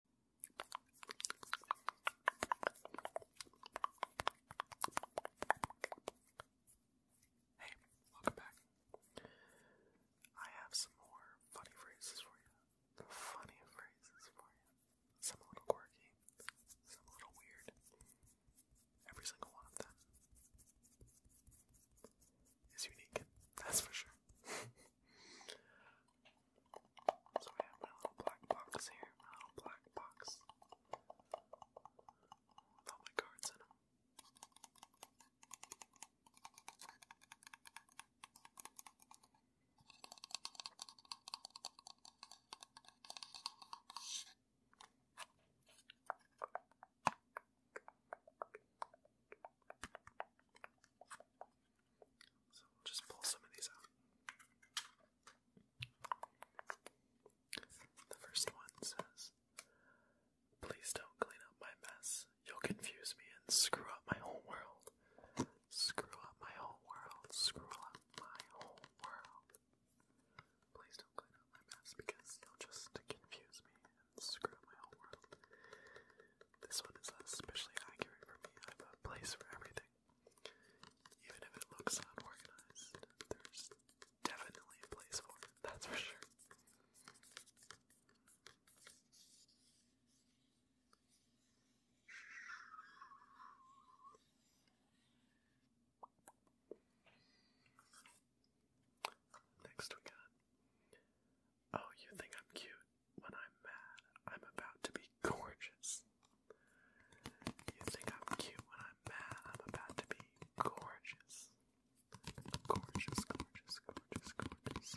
Hey, welcome back. I have some more funny phrases for you. Funny phrases for you. Some little quirky, some little weird. Every single one of them is unique, that's for sure. So I have my little black box here, my little black box with all my cards in them. So we'll just pull some of these out. The first one says, Please don't clean up my mess. You'll confuse me and screw up my whole world. Screw up my whole world. Screw up my whole world. Please don't clean up my mess because you'll just confuse me screw my whole world. This one is especially accurate for me. I have a place for everything. Even if it looks unorganized, there's definitely a place for that's for sure. Next, we got Oh, you think I'm cute when I'm mad. I'm about to be gorgeous. You think I'm cute when I'm mad. I'm about to be gorgeous. Gorgeous, gorgeous, gorgeous, gorgeous.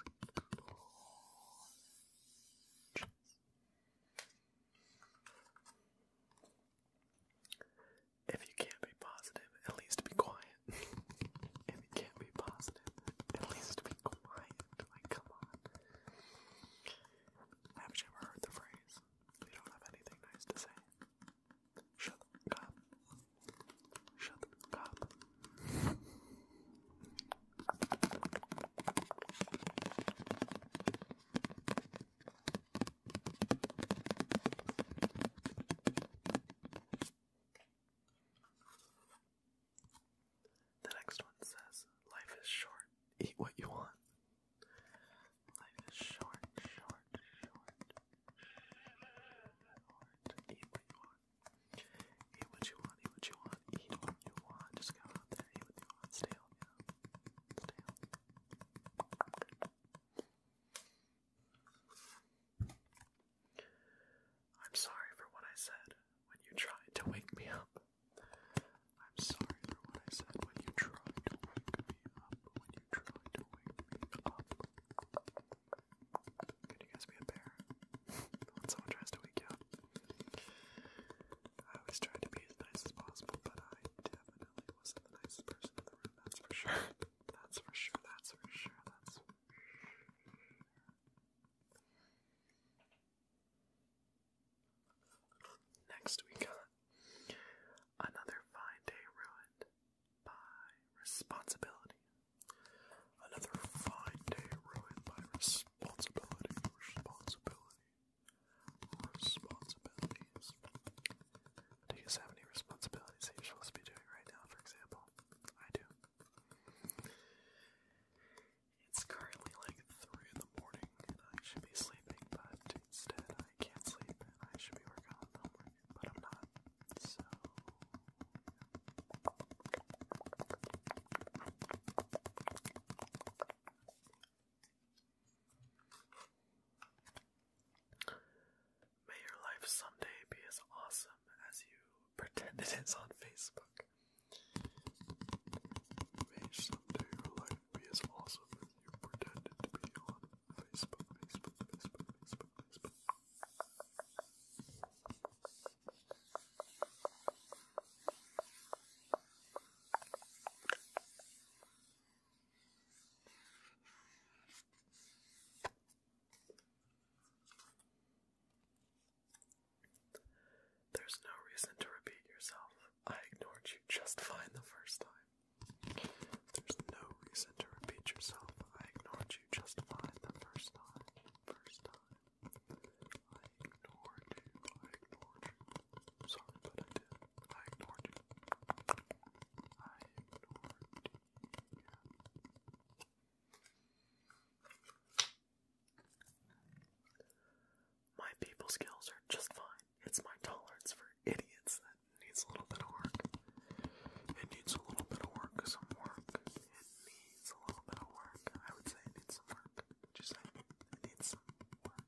If you can't be positive, at least be quiet if it can't be positive, at least be quiet. Like, come on. Haven't heard the phrase, you don't have anything nice to say? Shut the cop. Shut the fuck the next one says, Life is short, eat what you want. Life is short, short, short, short, eat what you want. Eat what you want, eat what you want, eat what you want. Just go out there, eat what you want, stay healthy, stay I'm sorry for what I said when you tried to wake me up. I'm sorry for what I said when you tried to wake me up. When you tried to wake me up. Can you guys be a bear? when someone tries to wake you up. I always tried to be as nice as possible, but I definitely wasn't the nicest person in the room, that's for sure. That's for sure, that's for sure, that's for sure. Next we Another Fine Day Ruined by Responsibility. Another fine day ruined by responsibility, responsibility, responsibilities. Do you have any responsibilities that you're supposed to be doing right now, for example? I do. It's currently like 3 in the morning I should be sleeping, but instead I can't sleep and I should be working on homework, but I'm not. So. May your life someday be as awesome as you pretend it is on Facebook. May someday your life be as awesome as you pretend to be on Facebook, Facebook, Facebook, Facebook, Facebook. There's no reason to repeat yourself. I ignored you just fine the first time. There's no reason to repeat yourself. I ignored you just fine the first time. First time. I ignored you. I ignored you. Sorry, but I did. I ignored you. I ignored you. My people skills are just fine. It's my tolerance for idiots that needs a little bit of work. It needs a little bit of work, some work. It needs a little bit of work. I would say it needs some work. Just say it needs some work,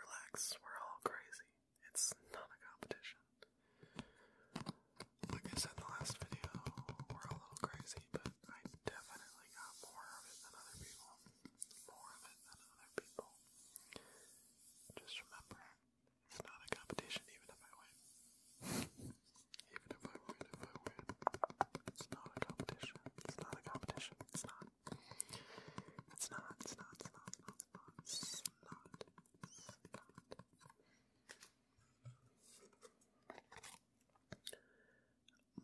Relax, we're all crazy. It's not a competition. Like I said in the last video, we're a little crazy, but I definitely got more of it than other people. More of it than other people. Just remember, it's not a competition even if I win. Even if I win, if I win. It's not a competition. It's not a competition. It's not it's not, it's not, it's not, it's not, it's not, it's not.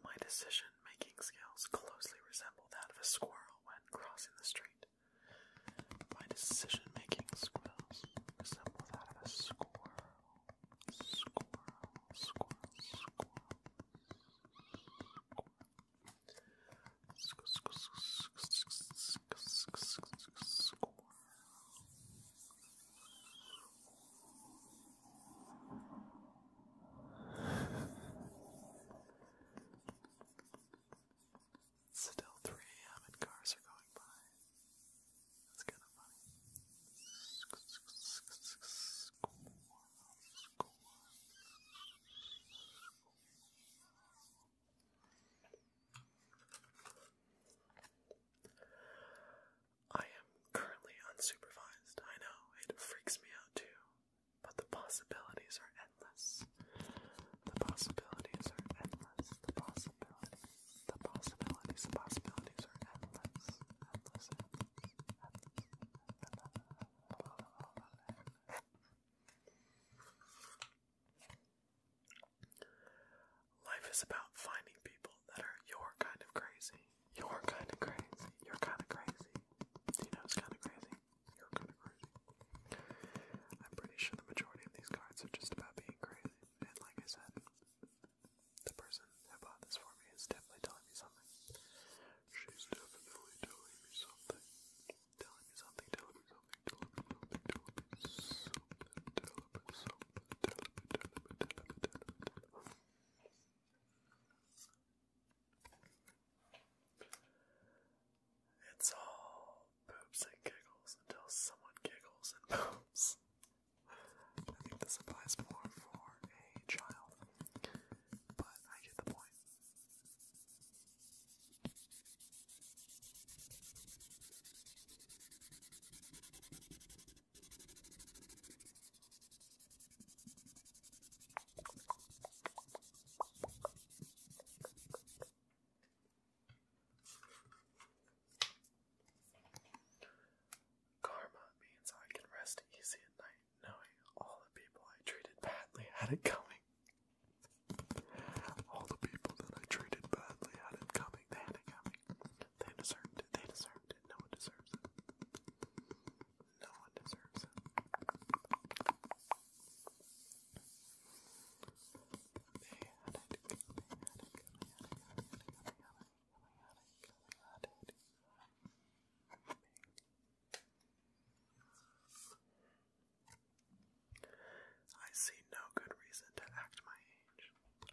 My decision making skills closely resemble that of a squirrel when crossing the street. My decision making skills resemble that of a squirrel. Squirrel, squirrel, squirrel still 3 a.m. and cars are going by. That's kind of funny. I am currently unsupervised. I know, it freaks me out too. But the possibilities are endless. The possibilities are endless. The possibilities, the possibilities, possibilities are endless. Life is about finding people that are your kind of crazy. Your kind of crazy. Your kind of crazy. You know, it's kind of crazy. You're kind of crazy. I'm pretty sure the majority of these cards are just about being crazy. And like I said, the person who bought this for me is definitely telling me something. She's definitely telling me something. Telling me something, telling me something, telling me something, telling me something, telling me something, It's all poops and giggles until someone giggles and poops. I think this applies more for a child, but I get the point. Karma means I can rest easy at night knowing all the people I treated badly had it coming. All the people that I treated badly had it coming. They had it coming. They deserved it. They deserved it. No one deserves it. No one deserves it. They had it They had it coming. Had it Had it coming. I see no good reason to act my age.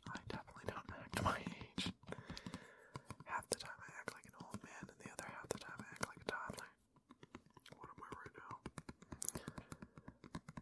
I definitely don't act my age. Half the time I act like an old man, and the other half the time I act like a toddler. What am I right now?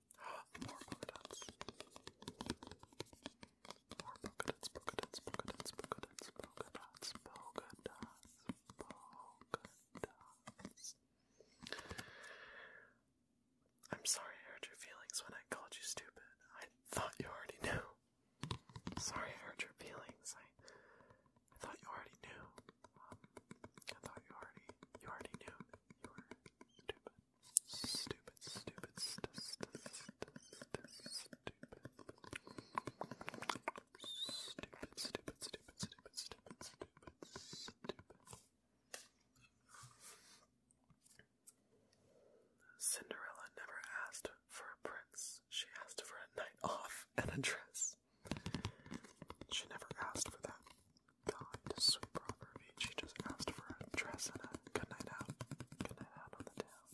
More polka More polka dots, polka dots, polka dots, I'm sorry I hurt your feelings when I called you stupid. I thought you already knew. Sorry I hurt your feelings. I, thought you already knew. I thought you already you already knew you were stupid. Stupid, stupid, st st st stupid. Stupid, stupid, stupid, stupid, stupid, stupid, stupid. Cinderella never asked for a prince. She asked for a night off and a dress. She never asked for that kind, sweet proverb. She just asked for a dress and a good night out. Good night out on the town.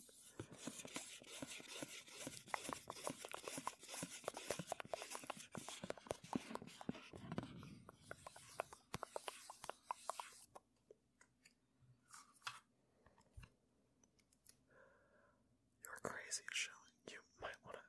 You're crazy, Shelley. You might want to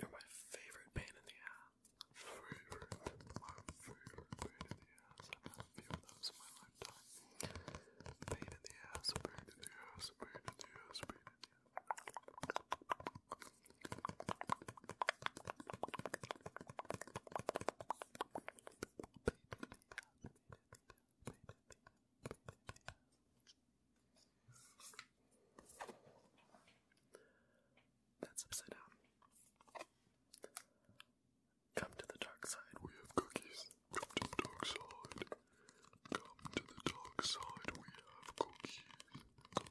You're my favorite pain in the ass. Favorite, my favorite pain in the ass. I've had few of those in my lifetime. Pain in the ass, pain in the ass, pain in the ass, pain in the that's upside down. Come to the dark side. We have cookies. Come to the dark side. Come to the dark side. We have cookies